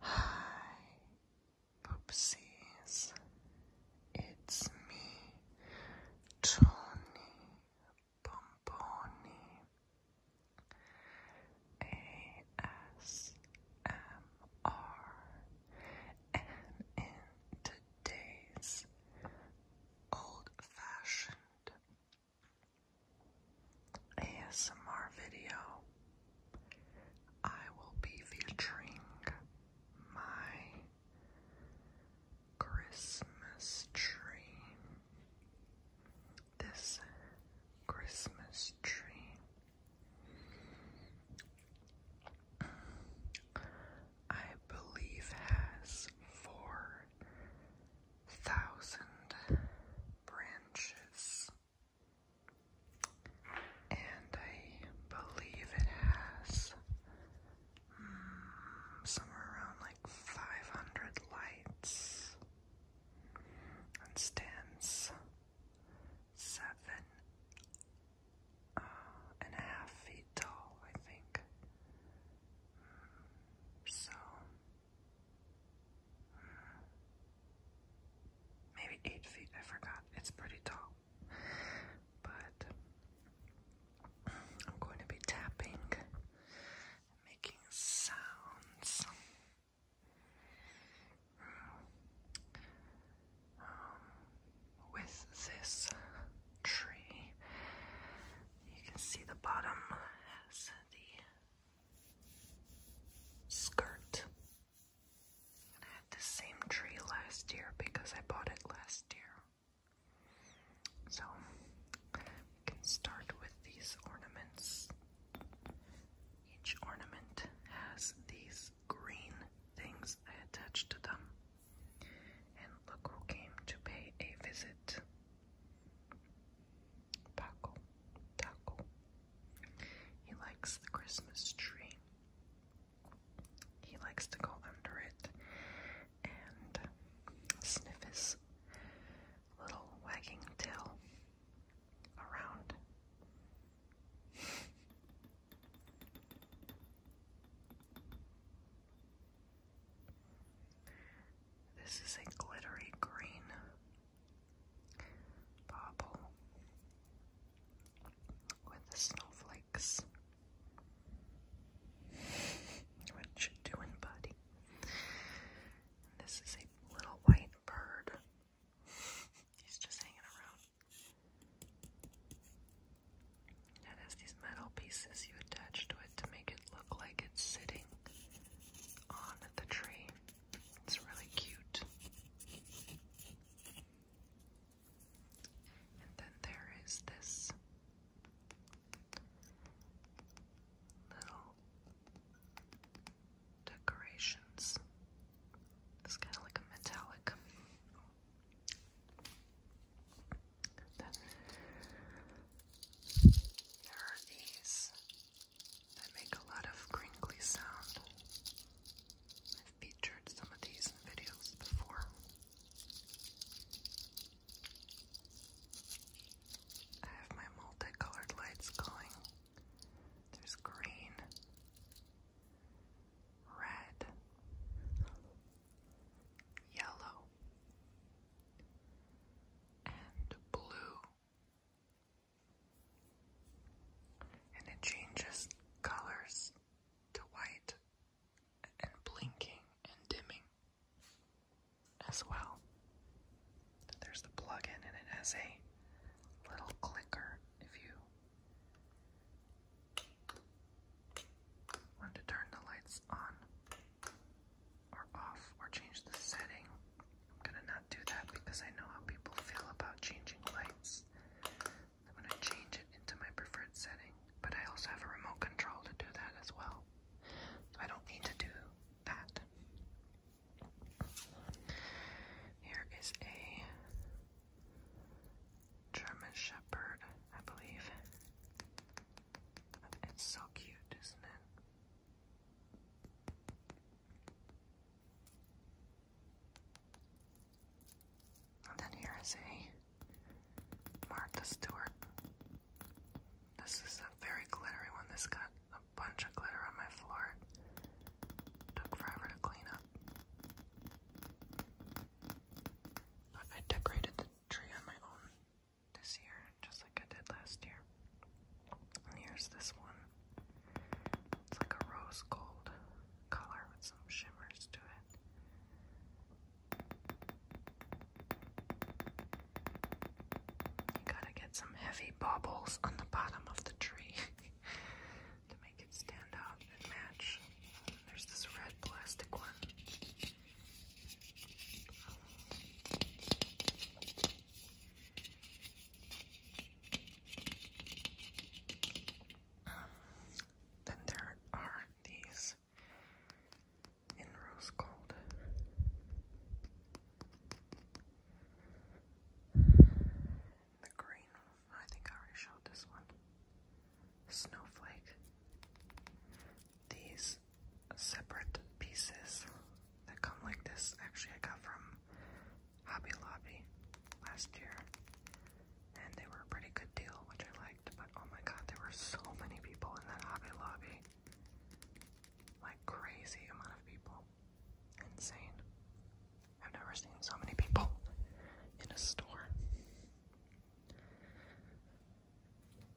Hi, Poopsies. It's me, Tony Pomponi. ASMR are. And in today's old fashioned ASMR video, I will be featuring my Christmas tree. This Christmas tree I believe has four thousand branches, and I believe it has mm, somewhere around like five hundred lights and stands seven uh, and a half feet tall, I think. Mm, so, mm, maybe eight feet, I forgot. It's pretty tall. But I'm going to be tapping, making sounds. Um, with this tree. You can see the bottom has the skirt. I had the same tree last year because I bought it last year. So we can start with these ornaments. Each ornament has these green things I attached to them. And look who came to pay a visit. Paco. Taco. He likes the Christmas tree. He likes to go under it and sniff his little wagging tail around. This is a glittery green bobble with the snowflakes. What you doing, buddy? this is a little white bird. He's just hanging around. It has these metal pieces you attach to it to make it look like it's sitting on the tree. It's really cute. And then there is this little decorations. It's kind of like a metallic there are these that make a lot of crinkly sound. I've featured some of these in videos before. I have my multicolored lights going. There's green, red, yellow, and blue. And it changes colors to white and blinking and dimming as well. There's the plug-in and it has a little clicker if you when to turn the lights on or off or change the setting. I'm gonna not do that because I know how people feel about changing lights. I'm gonna change it into my preferred setting, but I also have a remote control to do that as well. So I don't need to do that. Here is a German Shepherd, I believe. It's so cute, isn't it? then here is a Martha Stewart. This is a very glittery one. This got a bunch of glitter on my floor. Took forever to clean up. I decorated the tree on my own this year, just like I did last year. And here's this one. It's like a rose gold color with some shimmers to it. You gotta get some heavy baubles on the bottom of the tree. to make it stand out and match. There's this red plastic one. Um, then there are these in rose gold. The green I think I already showed this one. Snowflake. These separate pieces that come like this actually I got from Hobby Lobby last year. And they were a pretty good deal, which I liked, but oh my god, there were so many people in that Hobby Lobby. Like crazy amount of people. Insane. I've never seen so many people in a store.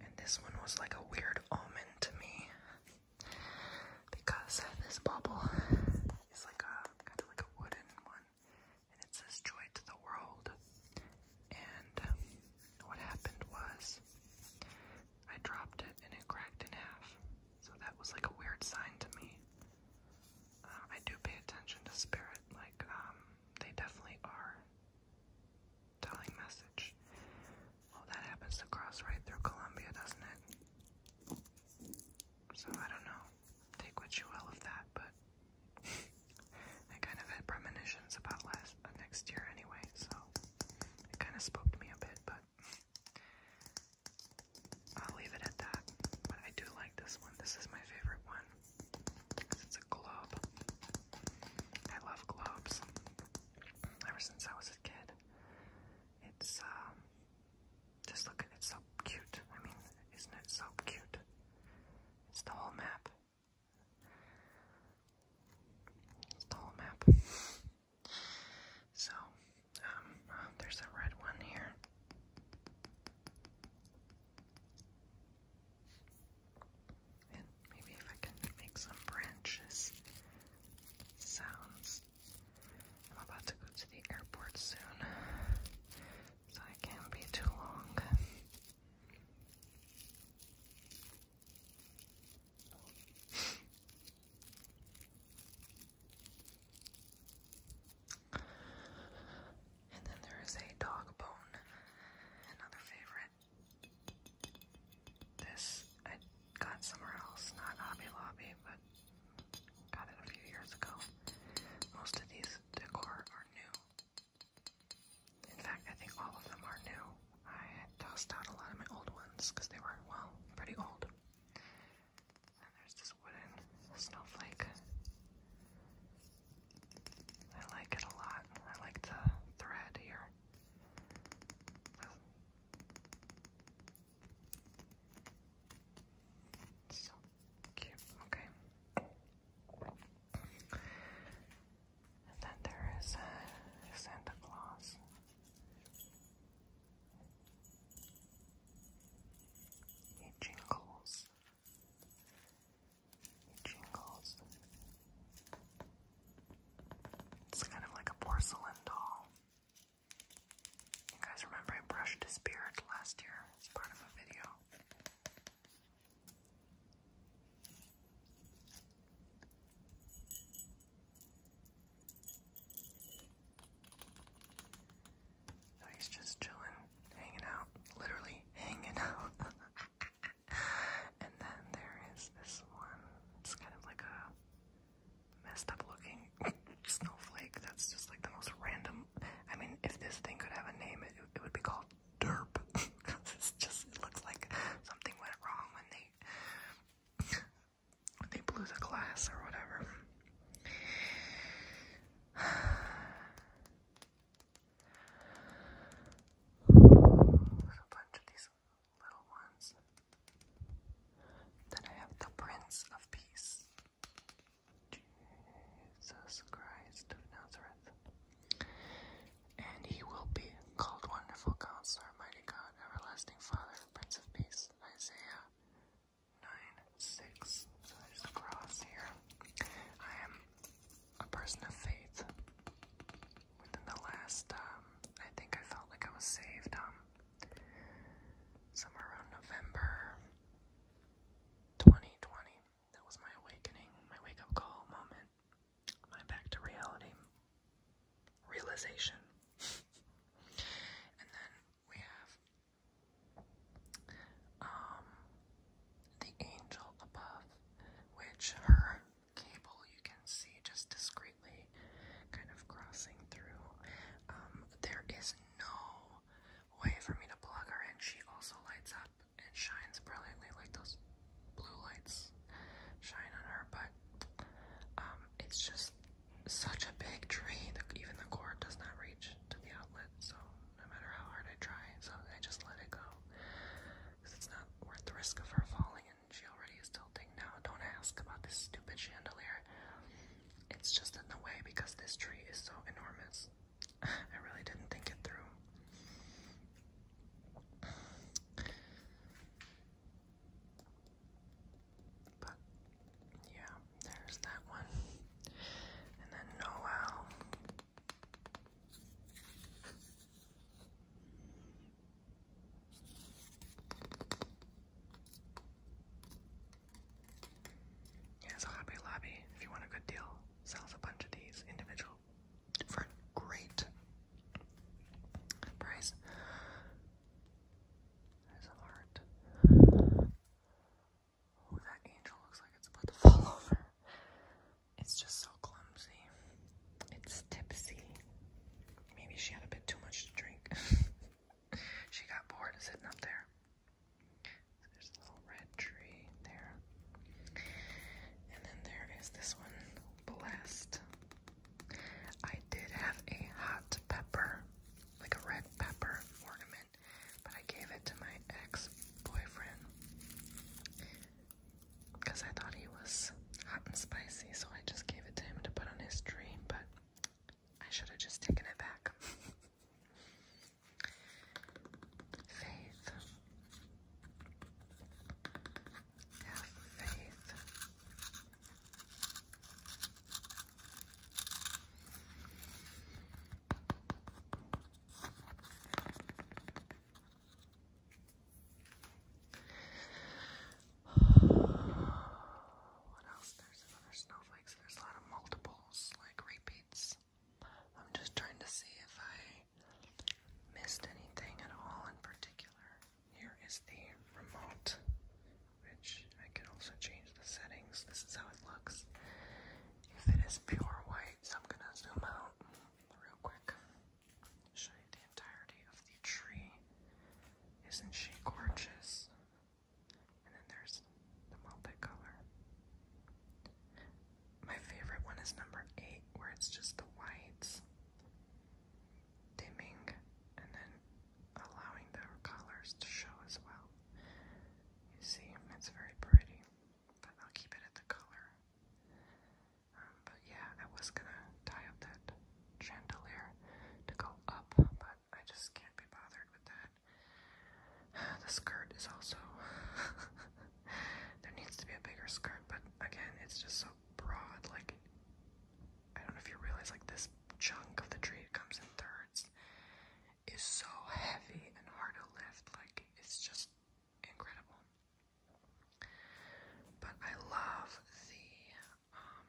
And this one was like a weird omen to me because this bubble is like a kind of like a wooden one and it says joy to the world. And what happened was I dropped it and it cracked in half. So that was like a weird sign to me. Uh, I do pay attention to spirit, like, um, they definitely are. Telling message. Well, that happens to cross right through Colombia, doesn't it? So I don't know. Take what you will of that, but I kind of had premonitions about uh, next year anyway, so it kind of spooked me a bit, but I'll leave it at that. But I do like this one. This is my favorite one. It's a globe. I love globes. Ever since I was a kid. It's, um, just look it's so cute. I mean, isn't it so cute? It's the whole map. the whole map. So, um, oh, there's a red one here. And maybe if I can make some branches sounds. I'm about to go to the airport soon, so I can't be too long. And then there is a dog bone, another favorite. This I got somewhere else, not Hobby Lobby, but got it a few years ago. Most of these decor are new. In fact, I think all of them are new. I tossed out a lot of my old ones because they were, well, pretty old. And there's this wooden snowflake. I like it a lot. I like the thread here. So cute. Okay. And then there is uh, Santa Claus. He jingles jingles. It's kind of like a porcelain doll. You guys remember I brushed his beard last year as part of a video. So he's just chilling, hanging out, literally hanging out. and then there is this one. It's kind of like a messed up looking snowflake that's just like the most random. I mean, if this thing could have a name, it, would be called Derp. Because it's just, looks like something went wrong when they. When they blew the glass or whatever. There's a bunch of these little ones. Then I have the Prince of Peace. Jesus Christ And he will be called Wonderful Counselor, Mighty God, Everlasting Father, Prince of Peace. Isaiah 9 6. So there's a cross here. I am a person of faith. Within the last, um, I think I felt like I was saved, um, somewhere around November 2020. That was my awakening, my wake up call moment, my back to reality realization. and then we have, um, the angel above, which her cable you can see just discreetly kind of crossing through. Um, there is no way for me to plug her in. She also lights up and shines brilliantly like those blue lights shine on her, but um, it's just such a big tree that even the cord does not reach to the outlet, so no matter how hard I try, so I just let it go. Because it's not worth the risk of her falling, and she already is tilting now. Don't ask about this stupid chandelier. It's just in the way because this tree is so enormous. I really didn't think it through. But yeah, there's that one. And then Noel. Yeah, so Hobby Lobby, if you want a good deal, sells a bunch of these individual for great price. There's a heart. Oh, that angel looks like it's about to fall over. It's just so clumsy. It's tipsy. Maybe she had a bit too much to drink. she got bored sitting up there. there's a little red tree there. And then there is this one, blessed. I did have a hot pepper, like a red pepper ornament, but I gave it to my ex boyfriend because I thought he was hot and spicy, so I just gave it to him to put on his dream, but I should have just taken it back. faith. Have faith. What else? There's another snowflake, there's a lot of multiples, like repeats. I'm just trying to see if I missed anything at all in particular. Here is the remote, which I can also change the settings. This is how it looks. If it is pure white, so I'm gonna zoom out real quick. Show the entirety of the tree. Isn't she gorgeous? And then there's the multicolor. My favorite one is number eight, where it's just the whites dimming and then allowing the colors to show as well. You see, it's very pretty, but I'll keep it at the color. Um, but yeah, I was gonna tie up that chandelier to go up, but I just can't be bothered with that. The skirt is also. there needs to be a bigger skirt, but again, it's just so broad. Like, I don't know if you realize, like, this chunk of the tree, it comes in thirds, is so heavy and hard to lift. Like, it's just incredible. But I love the um,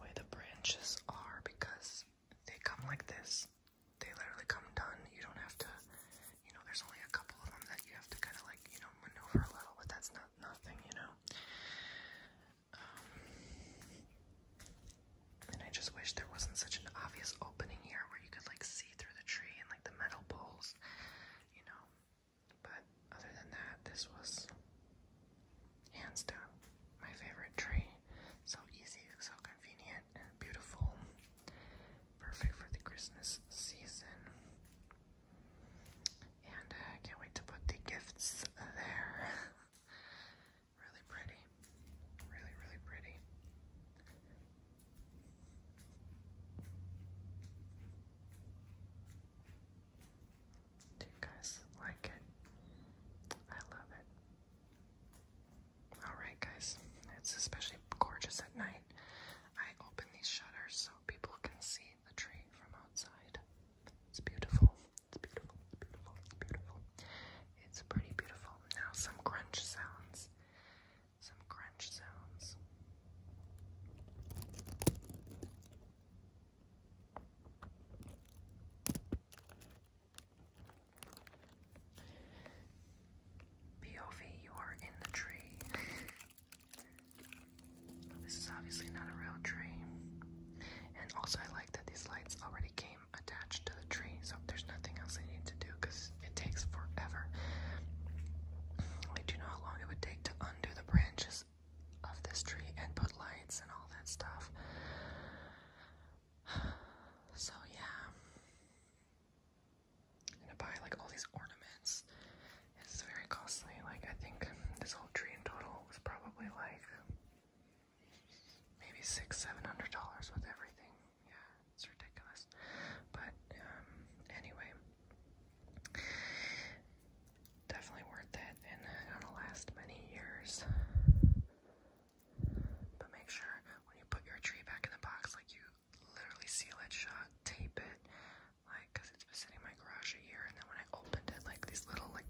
way the branches are because they come like this. They literally come done. You don't have to, you know, there's only a couple of them that you have to kind of like, you know, maneuver a little, but that's not nothing, you know. Um, and I just wish there wasn't such an obvious opening here where you could like see through the tree and like the metal poles, you know. But other than that, this was hands down my favorite tree. So easy, so convenient, beautiful. Perfect for the Christmas season. And I uh, can't wait to put the gifts there. really pretty. Really, really pretty. Do you guys like it? I love it. Alright, guys, it's especially gorgeous at night. I open these shutters so people can see the tree from outside. It's beautiful. It's beautiful. beautiful. beautiful. It's pretty beautiful. Now, some crunch sounds some crunch sounds. POV, you are in the tree. this is obviously not a real tree. And also, I like that these lights already came attached the tree, so there's nothing else I need to do because it takes forever. do you know how long it would take to undo the branches of this tree and put lights and all that stuff? So, yeah. i to buy like all these ornaments. It's very costly. Like, I think this whole tree in total was probably like maybe six, seven hundred dollars with everything yeah, it's ridiculous. But um, anyway, definitely worth it, and it'll last many years. But make sure when you put your tree back in the box, like you literally seal it shut, tape it, like, cause it's been sitting in my garage a year, and then when I opened it, like these little like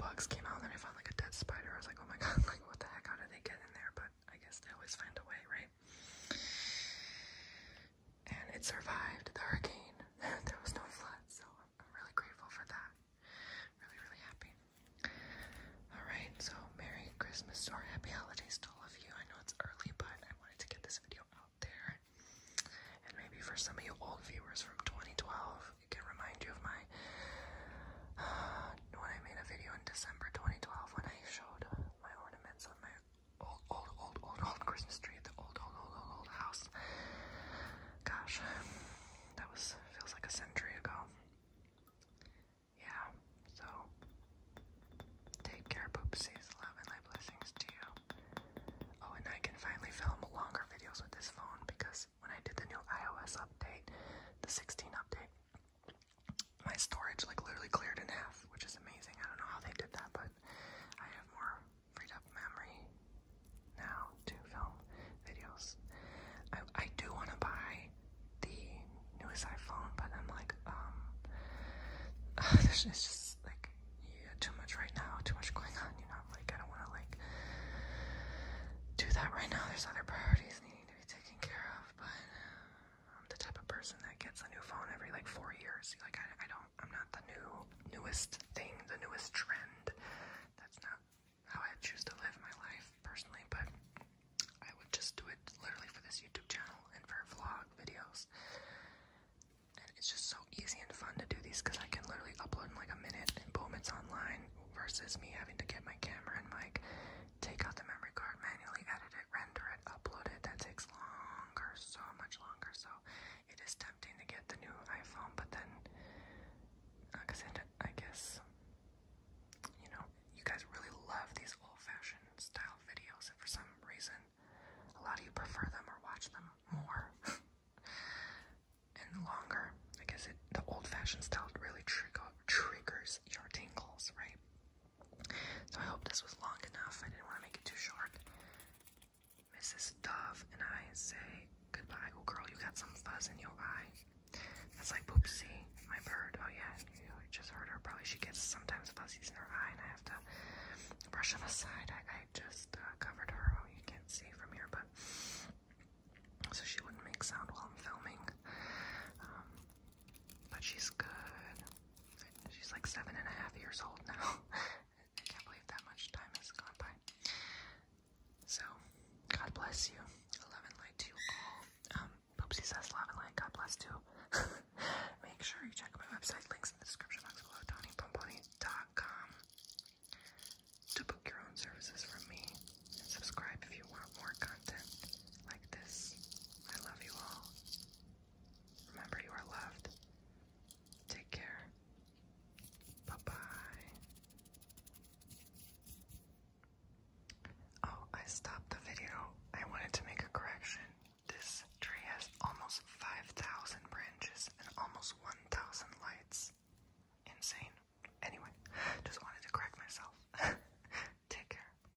bugs came out, and then I found like a dead spider. I was like, oh my god, like what the heck? How did they get in there? But I guess they always find a way, right? And it survived the hurricane. there was no flood, so I'm, really grateful for that. Really, really happy. Alright, so Merry Christmas or Happy Holidays to all of you. I know it's early, but I wanted to get this video out there. And maybe for some of you old viewers from 2012, it can remind you of my when I made a video in December 2012 when I showed my ornaments on my old, old, old, old, Christmas tree at the old, old, old, old, house. Gosh, that was feels like a century ago. Yeah, so take care, poopsies. Love and light blessings to you. Oh, and I can finally film longer videos with this phone because when I did the new iOS update, the 16 update, my storage like literally cleared in half, which is amazing. I don't know how they did that, but I have more freed up memory now to film videos. I, I do want to buy the newest iPhone, but I'm like, um, uh, there's just like too much right now, too much going on. You know, like I don't want to like do that right now. There's other priorities needing to be taken care of, but. I'm the type of person that gets a new phone every like four years. Like I, I don't, I'm not the new newest thing, the newest trend. That's not how I choose to live my life personally. But I would just do it literally for this YouTube channel and for vlog videos. And it's just so easy and fun to do these because I can literally upload in like a minute and boom, it's online. Versus me having to get my camera and mic Take out the memory card, manually edit it, render it, upload it. That takes longer, so much longer. So it is tempting to get the new iPhone, but then, because uh, I guess, you know, you guys really love these old-fashioned style videos, for some reason, a lot of you prefer them or watch them more and longer. I guess it, the old-fashioned style really trigger, triggers your tingles, right? So I hope this was long enough. I didn't want to make it too short. Mrs. Dove and I say goodbye. Oh, girl, you got some fuzz in your eye. That's like Poopsie, my bird. Oh, yeah, you just heard her. Probably she gets sometimes fuzzies in her eye, and I have to brush them aside. I, just uh, covered her. Oh, you can't see from here, but so she wouldn't make sound while I'm filming. Um, but she's good. She's like seven and a half years old now. I can't believe that much time has gone by. So, God bless you. Love and light to you all. Um, says love and light. God bless too. Make sure you check my website. Links in the description box below. TonyPomponi.com to book your own services from me. subscribe if you want more content like this. I love you all. Remember, you are loved. Take care. Bye bye. Oh, I stopped the video. I wanted to make a correction. This tree has almost 5,000 branches and almost 1,000 lights. Insane. Anyway, just wanted to correct myself. Take care.